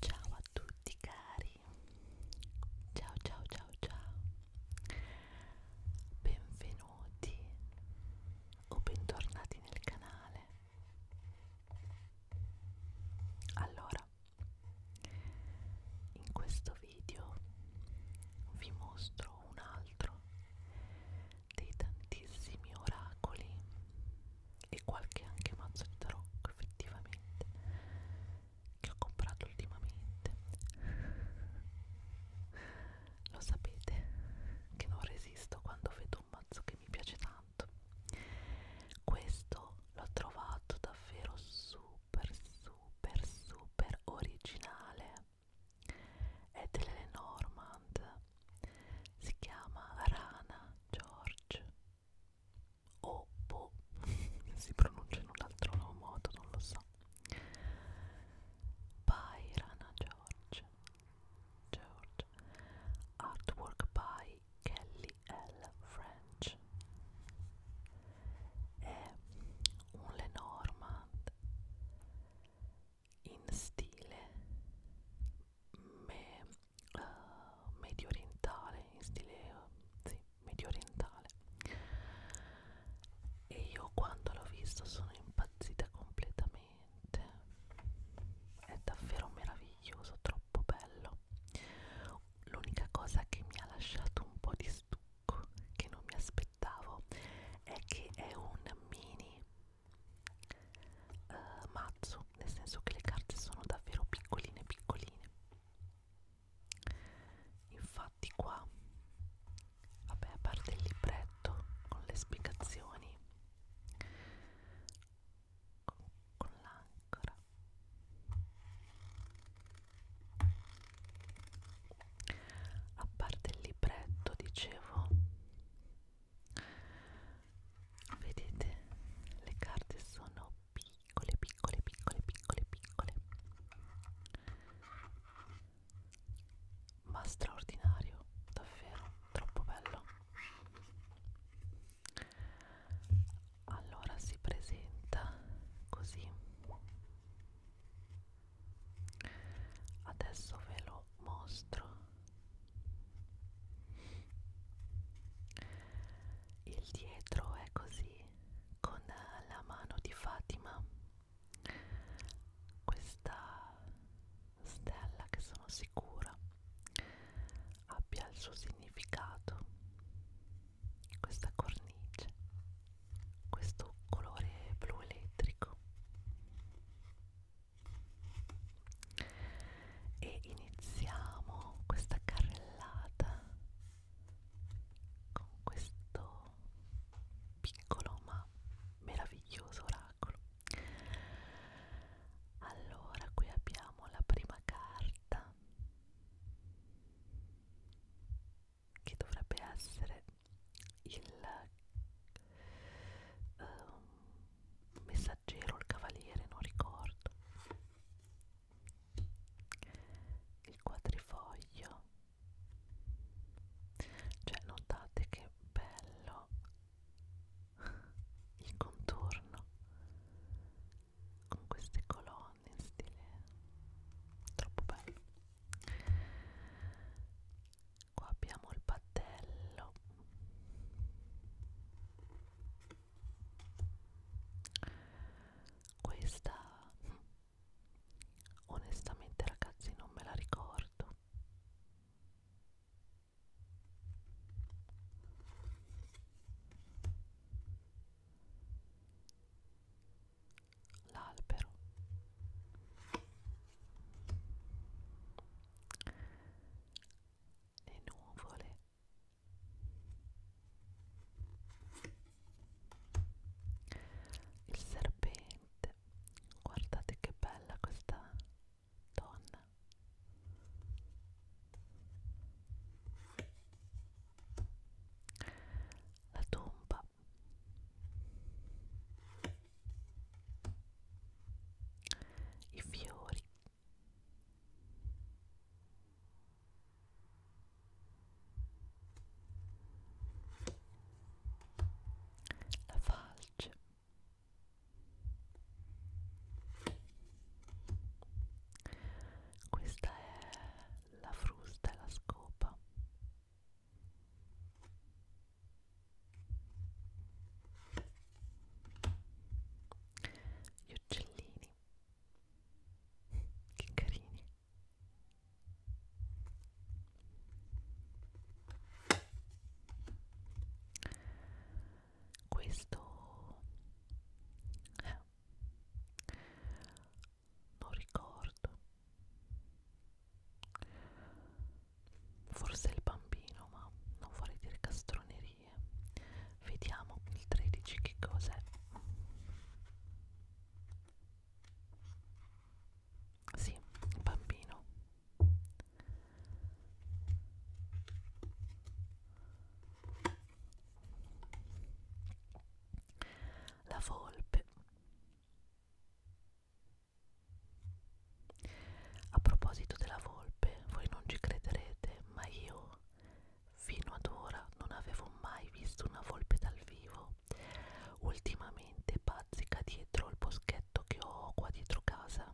Ciao a tutti cari, ciao ciao ciao ciao, benvenuti o bentornati nel canale. Allora, in questo video vi mostro un altro dei tantissimi oracoli e qualche anche mazzo di tarocco effettivamente che ho comprato ultimamente lo sapete che non resisto quando vedo un mazzo che mi piace tanto questo l'ho trovato davvero super super super originale è dell'Elenormand, si chiama Rana George o Bo, si pronuncia in un altro modo, non lo so. By Rana George, George. Artwork by Kelly L. French. È un Lenormand in stile me, uh, medio orientale, in stile uh, sì, medio orientale. E io quando l'ho visto sono impazzita completamente. È davvero meraviglioso, troppo bello. L'unica cosa che mi ha lasciato un po' di stucco, che non mi aspettavo aspettavo è che è un mini uh, mazzo, nel senso che le carte sono davvero piccoline piccoline. Infatti qua, vabbè a parte il libretto con le spiegazioni, con, con l'ancora a parte il libretto dicevo vedete le carte sono piccole piccole piccole piccole piccole ma straordinario davvero troppo bello allora si presenta così adesso ve lo mostro il dietro è così con la mano di Fatima questa stella che sono sicura abbia il suo significato questa cornice, questo colore blu elettrico e iniziamo questa carrellata con questo piccolo ma meraviglioso oracolo allora qui abbiamo la prima carta che dovrebbe essere il uh, messaggero, il cavaliere, non ricordo il quadrifoglio cioè notate che bello il contorno con queste colonne in stile troppo bello qua abbiamo il battello questa onestamente ragazzi non me la ricordo l'albero le nuvole il serpente guardate che bella questa donna la tomba i fiori la falce questa è la frusta e la scopa. Gli uccellini. Che carini. Questo è non ricordo forse il bambino ma non vorrei dire castronerie vediamo il 13 che cos'è sì bambino la volpe. A proposito della volpe, voi non ci crederete, ma io fino ad ora non avevo mai visto una volpe dal vivo. Ultimamente bazzica dietro il boschetto che ho qua dietro casa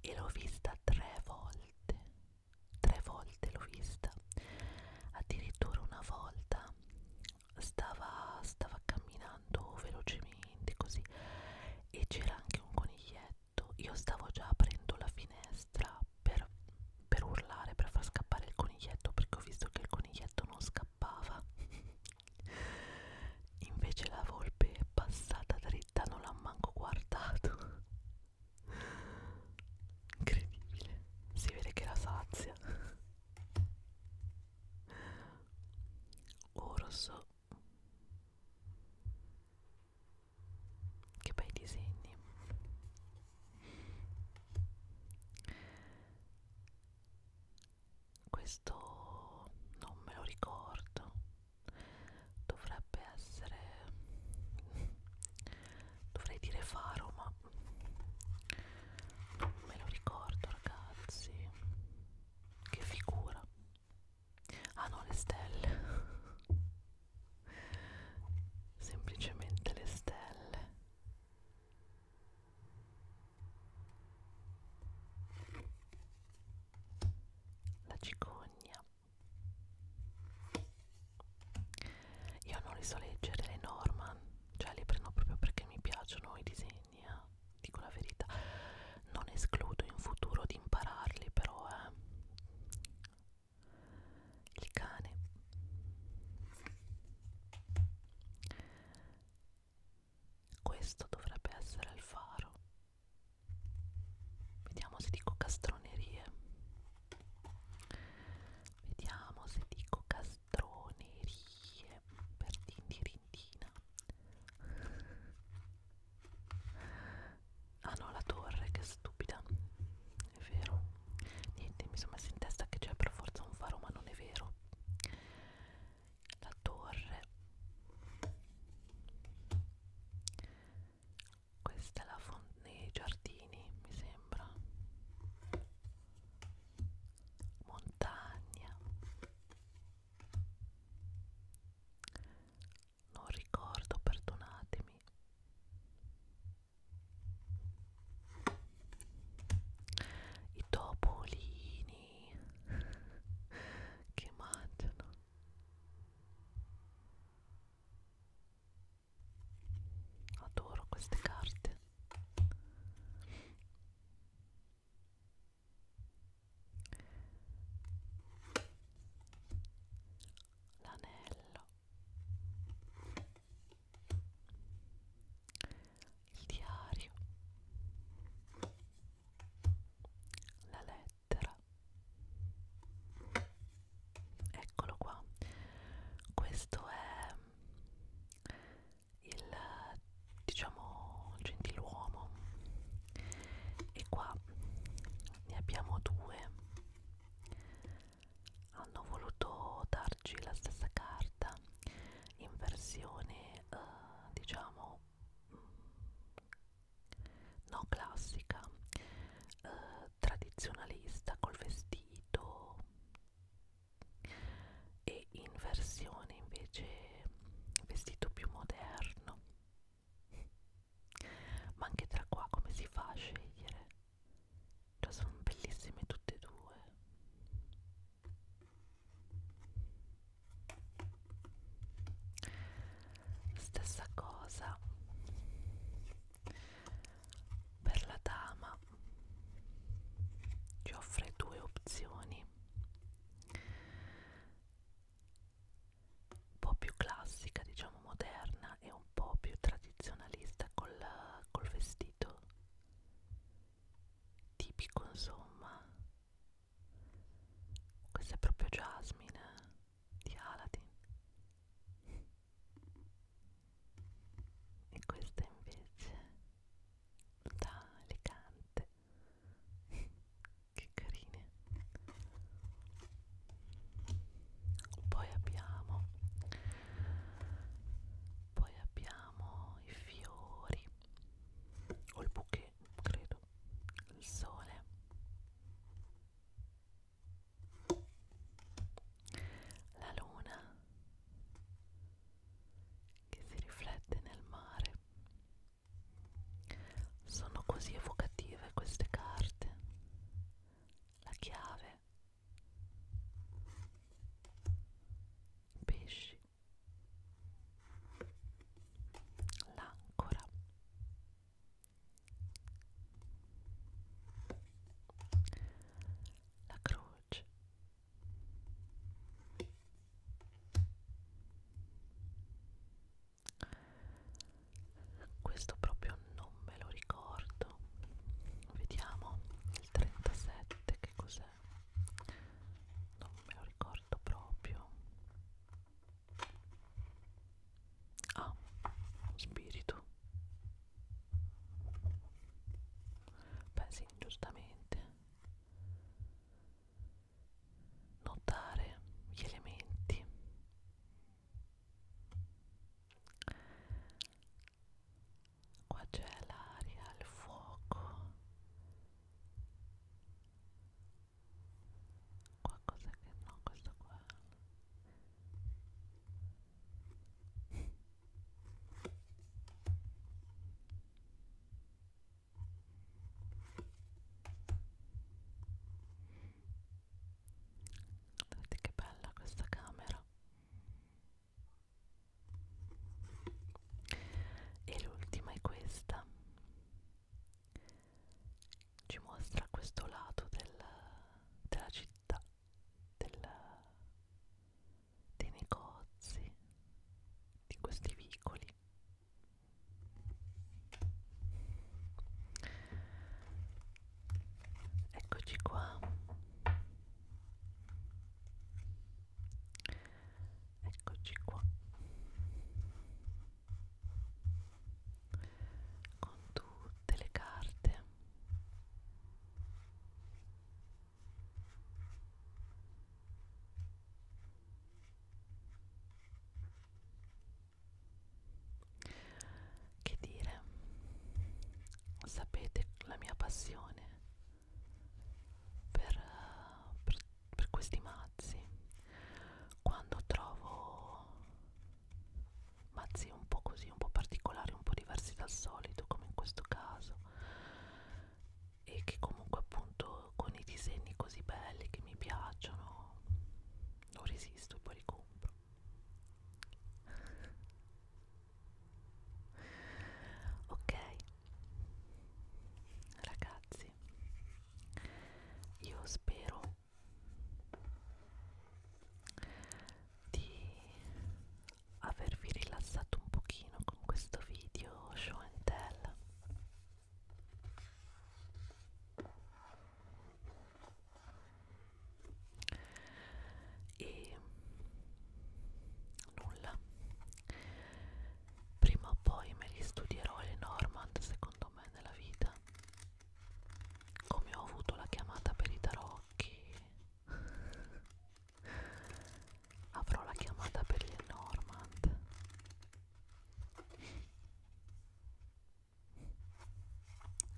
e l'ho vista tre volte tre volte l'ho vista addirittura una volta stava, stava camminando velocemente così e c'era anche un coniglietto io stavo già aprendo la finestra per, per urlare per far scappare il coniglietto perché ho visto che il coniglietto non scappava invece la volpe è passata diretta non l'ha manco guardato incredibile si vede che la sazia orso oh, che bei disegni questo non me lo ricordo dovrebbe essere dovrei dire faro ma non me lo ricordo ragazzi che figura ah no le stelle semplicemente le stelle la cicogna io non li so leggere le Norman cioè li prendo proprio perché mi piacciono i disegni eh? dico la verità non escludo in futuro di impararli però eh. il cane questo dovrebbe essere il faro. Vediamo se dico castronerie. Vediamo se dico castronerie per tindirindina. Ah no, la torre, che stupida. È vero. Niente, mi sono messa in testa che c'è per forza un faro, ma non è vero la torre questa è la fonte nei giardini mi sembra montagna non ricordo perdonatemi i topolini bambini che mangiano adoro queste carte l'anello il diario la lettera eccolo qua questo è il diciamo gentiluomo e qua ne abbiamo due hanno voluto darci la stessa carta in versione uh, diciamo mm, no classica eh, tradizionalista col vestito e in versione invece vestito più moderno ma anche tra qua come si fa a scegliere cioè sono bellissime tutte e due Stessa cosa per la dama, ci offre due opzioni, un po' più classica, diciamo moderna, e un po' più tradizionalista col, col vestito tipico insomma questa è proprio Jasmine di Aladdin e questa invece da elegante che carine poi abbiamo poi abbiamo i fiori o il bouquet credo il sole la luna che si riflette nel mare sono così evocative queste carte la chiave pesci l'ancora la croce questo proprio non me lo ricordo vediamo il 37 che cos'è? Non me lo ricordo proprio. Ah, spirito. Beh sì, giustamente. Notare gli elementi qua c'è l'aria, il fuoco qualcosa che no, questo qua Vedete che bella questa camera e l'ultima è questa ci mostra questo lato del, della città del, dei negozi di questi vicoli eccoci qua eccoci qua con tutte le carte che dire? Sapete la mia passione per, per, per questi mazzi. Quando trovo mazzi un po' così, un po' particolari, un po' diversi dal solito, come in questo caso, e che comunque appunto con i disegni così belli che mi piacciono non resisto e poi li compro ok ragazzi io spero di avervi rilassato un pochino con questo video show and tell e nulla prima o poi me li studierò le Normand secondo me nella vita come ho avuto la chiamata per i tarocchi avrò la chiamata per gli Normand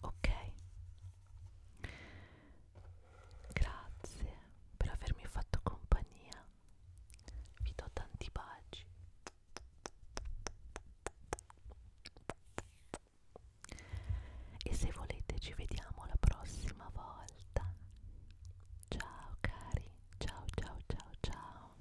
Ok? Grazie per avermi fatto compagnia. Vi do tanti baci. E se volete ci vediamo la prossima volta. Ciao cari, ciao ciao ciao ciao.